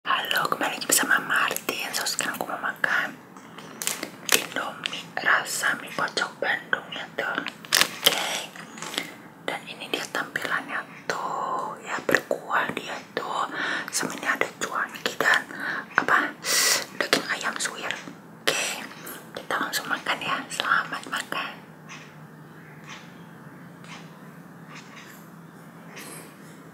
Halo, kembali lagi bersama Martin. So, sekarang aku mau makan Indomie rasa mie pocong Bandung ya tuh. Oke. Dan ini dia tampilannya tuh ya berkuah dia tuh. Semennya ada cuan kita apa daging ayam suwir. Oke, kita langsung makan ya. Selamat makan.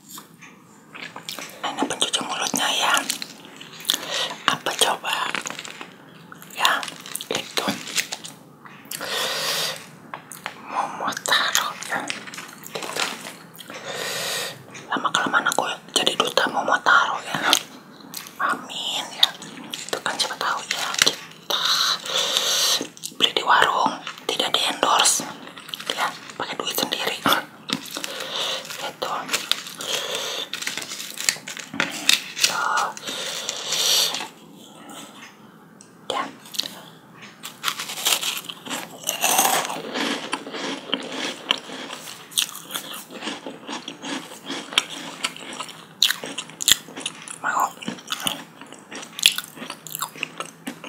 Ini pencuci mulutnya ya. Apa coba? Ya, itu. Momotaro ya. Itu. Lama kelamaan aku jadi duta Momotaro ya. Amin ya. Itu kan siapa tahu ya kita beli di warung tidak di endorse ya pakai duit sendiri itu gitu. ya mau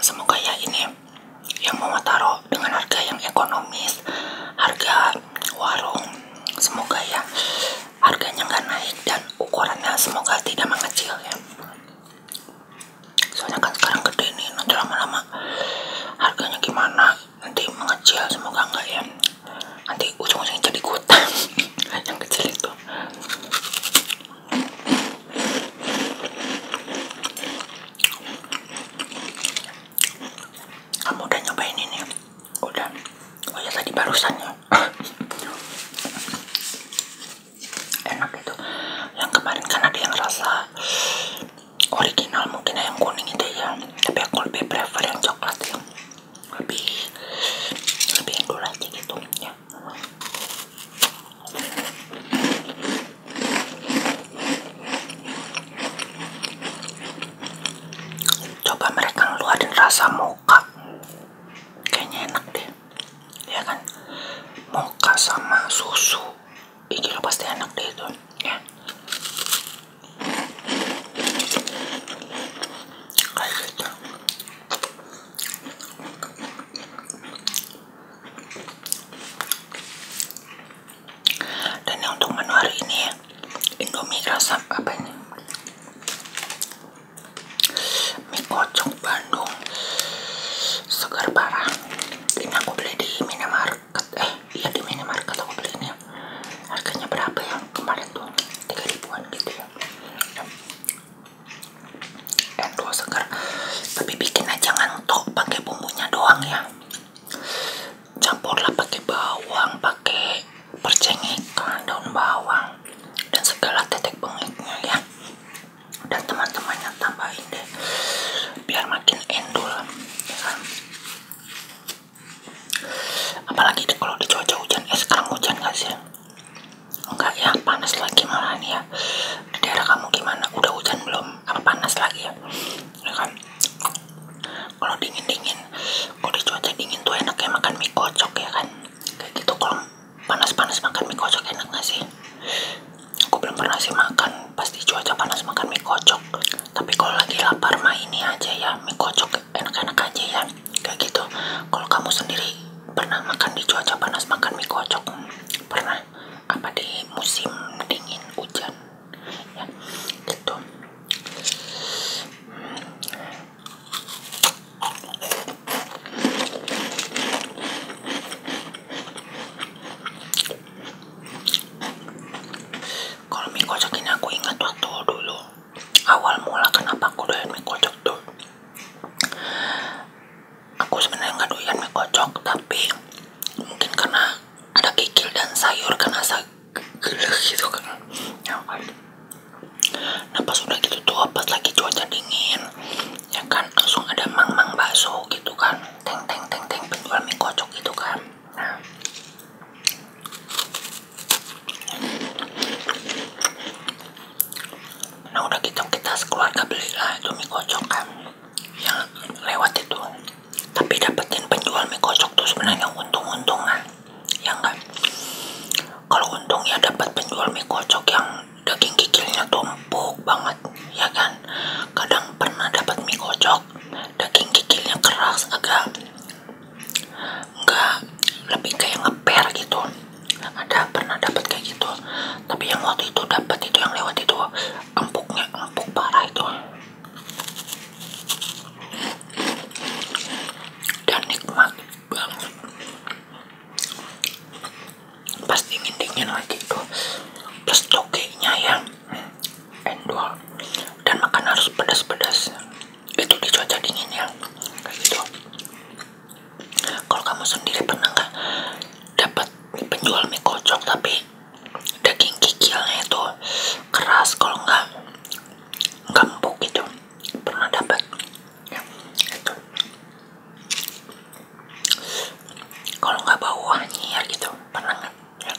Semoga ya ini yang mau taruh dengan harga yang ekonomis, harga warung. Semoga ya harganya nggak naik dan ukurannya semoga tidak mengecil ya. Soalnya kan sekarang gede ini nanti lama-lama harganya gimana? Nanti mengecil, semoga enggak ya. Nanti ujung-ujungnya jadi kota yang kecil itu kamu udah nyobain ini udah oh ya tadi barusan ya enak itu yang kemarin kan ada yang rasa original mungkin yang kuning itu ya tapi aku lebih prefer yang coklat yang lebih lebih endul aja gitu ya coba mereka ngeluarin rasa mocha kayaknya enak deh ya kan mocha sama susu ini lo pasti enak deh itu ya kayak gitu dan yang untuk menu hari ini Indomie rasa apa ini? Mie kocok Bandung segar parah. Ini aku beli di minimarket. Eh, iya di minimarket aku beli ini Harganya berapa ya kemarin tuh? tiga ribuan gitu ya endol segar tapi bikinnya jangan tok pakai bumbunya doang ya campurlah pakai bawang pakai perceng ikan daun bawang dan segala tetek bengeknya ya dan teman-temannya tambahin deh biar makin endul ya kan? apalagi kalau di cuaca hujan es eh, sekarang hujan gak sih enggak ya panas lagi malah nih ya daerah kamu gimana udah hujan belum apa panas lagi ya ya kan kalau dingin dingin kalau di cuaca dingin tuh enak ya makan mie kocok ya kan kayak gitu kalau panas panas makan mie kocok enak gak sih aku belum pernah sih makan pasti cuaca panas makan mie kocok tapi kalau lagi lapar mah ini aja ya mie kocok enak-enak aja ya kayak gitu kalau kamu sendiri pernah makan di cuaca panas makan mie kocok pernah apa di musim dingin hujan ya gitu kalau mie kocok ini aku ingat waktu dulu awal mula kenapa aku doyan mie kocok tuh aku sebenarnya nggak doyan mie kocok tapi mungkin karena ada kikil dan sayur karena asa gitu kan ya kan nah pas udah gitu tuh pas lagi cuaca dingin ya kan langsung ada mang-mang bakso gitu kan teng teng teng teng penjual mie kocok gitu kan nah nah udah gitu kita sekeluarga belilah itu mie kocok kan yang lewat itu tapi dapetin penjual mie kocok tuh sebenarnya untung-untungan ya enggak kalau untung ya dapat penjual mie kocok yang daging kikilnya tumpuk banget ya kan kadang pernah dapat mie kocok daging kikilnya keras agak enggak lebih kayak ngeper gitu ada pernah dapat kayak gitu tapi yang waktu itu dapat itu yang lewat itu empuknya empuk parah itu dan nikmat banget pas dingin dingin lagi tuh plus tokenya yang endol dan makan harus pedas-pedas itu di cuaca dingin ya kayak gitu kalau kamu sendiri pernah nggak dapat penjual mie kocok tapi daging kikilnya itu keras kalau nggak nggak empuk gitu pernah dapat ya, kalau nggak bau anjir gitu pernah nggak ya,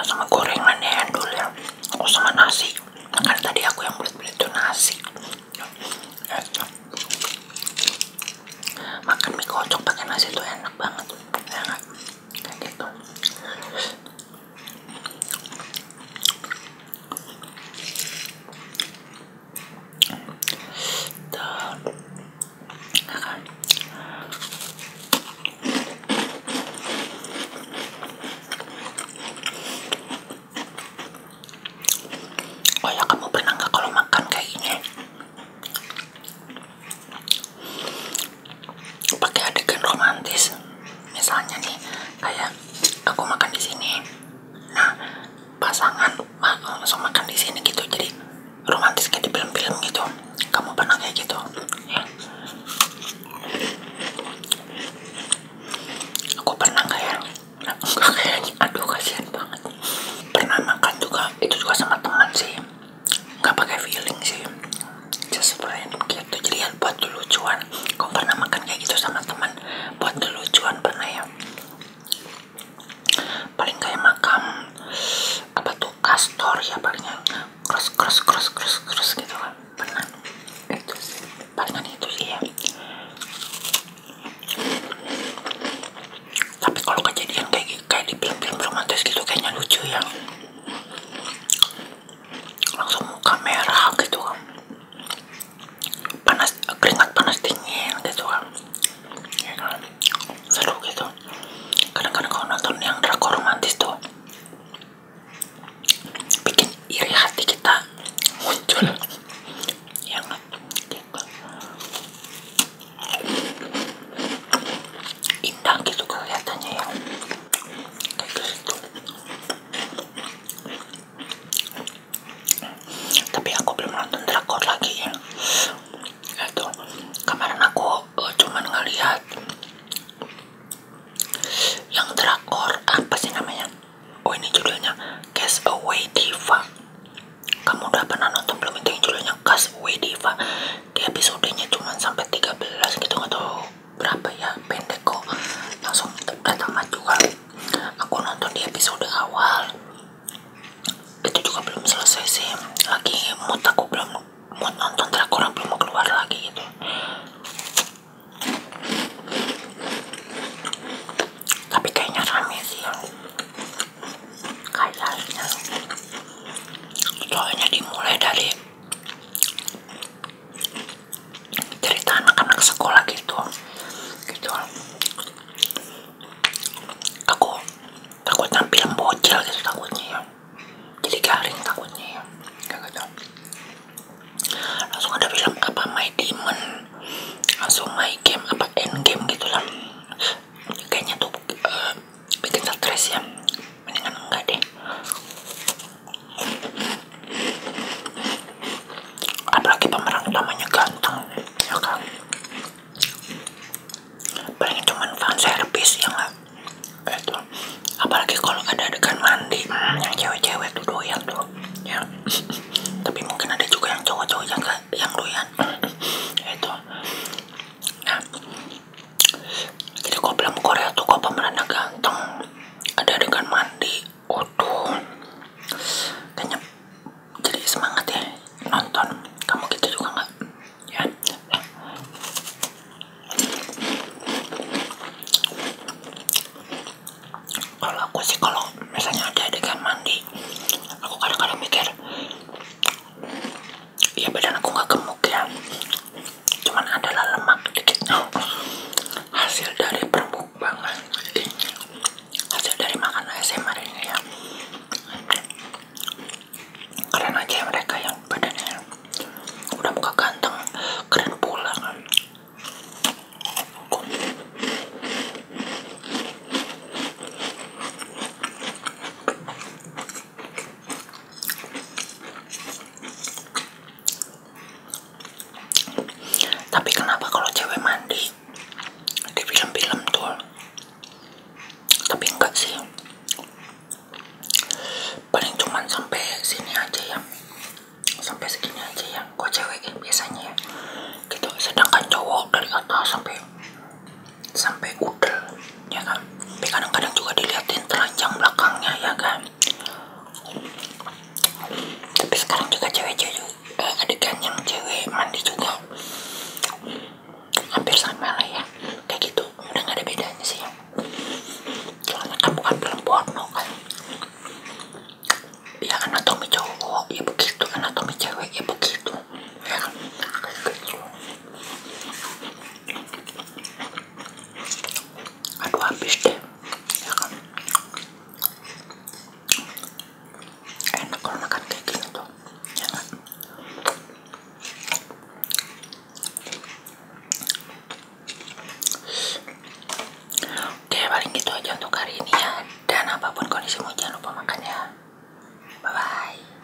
sama gorengan ya ya aku sama nasi makan tadi aku yang belit-belit itu nasi makan mie kocok pakai nasi itu enak banget dan akan oh ya kamu pernah nggak kalau makan kayak gini pakai adegan romantis misalnya nih kayak aku makan di sini nah pasangan langsung makan di sini gitu jadi romantis kayak di film-film gitu kamu pernah kayak gitu ya. aku pernah kayak nah, enggak kayaknya aduh kasihan banget pernah makan juga itu juga sama teman sih nggak pakai feeling sih sesuatu gitu jadi ya buat lucuan kamu pernah makan kayak gitu sama teman buat lucuan pernah ya paling kayak makam apa tuh kastor ya palingnya cross cross cross cross cross gitu kan pernah itu sih palingan itu sih ya tapi kalau kejadian kayak kayak di film-film romantis gitu kayaknya lucu ya langsung kamera merah gitu kan panas keringat panas dingin gitu kan ya kan seru gitu kadang-kadang kalau nonton yang drakor romantis tuh bikin iri hati kita muncul ya kan gitu. indah gitu kelihatannya ya tapi aku belum nonton drakor lagi ya itu kemarin aku eh, cuman ngelihat yang drakor apa sih namanya oh ini judulnya Cast Away Diva kamu udah pernah nonton belum itu judulnya Cast Away Diva dia di episodenya cuman sampai 13 gitu tuh berapa ya pendek kok langsung tamat juga aku nonton di episode awal itu juga belum selesai sih lagi mood aku belum mood nonton drakor belum mau keluar lagi gitu tapi kayaknya rame sih kayaknya soalnya dimulai dari cerita anak-anak sekolah gitu gitu aku takut tampil bocil gitu takutnya ya. jadi garing takutnya ya gak gitu langsung ada film apa My Demon langsung My Game apa End Game gitu lah kayaknya tuh eh, bikin stres ya mendingan enggak deh apalagi pemeran utamanya ganteng ya kan paling cuman fan service ya nggak itu apalagi kalau ada adegan mandi hmm, yang cewek-cewek tuh doyan tuh ya tapi mungkin ada juga yang cowok-cowok yang gak yang doyan itu nah, jadi kau film Korea tuh kau kalau pemerannya ganteng ada adegan mandi oh tuh kayaknya jadi semangat ya nonton kamu gitu juga nggak ya kalau aku sih kalau misalnya ada adegan mandi aku kadang-kadang mikir Iya badan aku nggak gemuk ya cuman adalah lemak dikit hasil dari permukbangan hasil dari makan ASMR ini ya keren aja ya mereka yang badannya udah muka ganteng keren pulang. Tapi kenapa kalau cewek mandi di film-film tuh? Tapi enggak sih. Paling cuman sampai sini aja ya. Sampai segini aja ya. Kok cewek biasanya Gitu. Sedangkan cowok dari atas sampai sampai udel ya kan tapi kadang-kadang juga dilihatin telanjang belakangnya ya kan tapi sekarang juga cewek-cewek eh, adegan yang cewek mandi juga hampir sama lah ya kayak gitu udah gak ada bedanya sih soalnya kan bukan film porno kan ya anatomi cowok ya begitu atau cewek ya begitu ya kan kayak gitu aduh habis deh ya kan? enak kalau makan kayak gini ya kan? oke paling gitu aja untuk hari ini ya dan apapun kondisimu jangan lupa makan ya. bye bye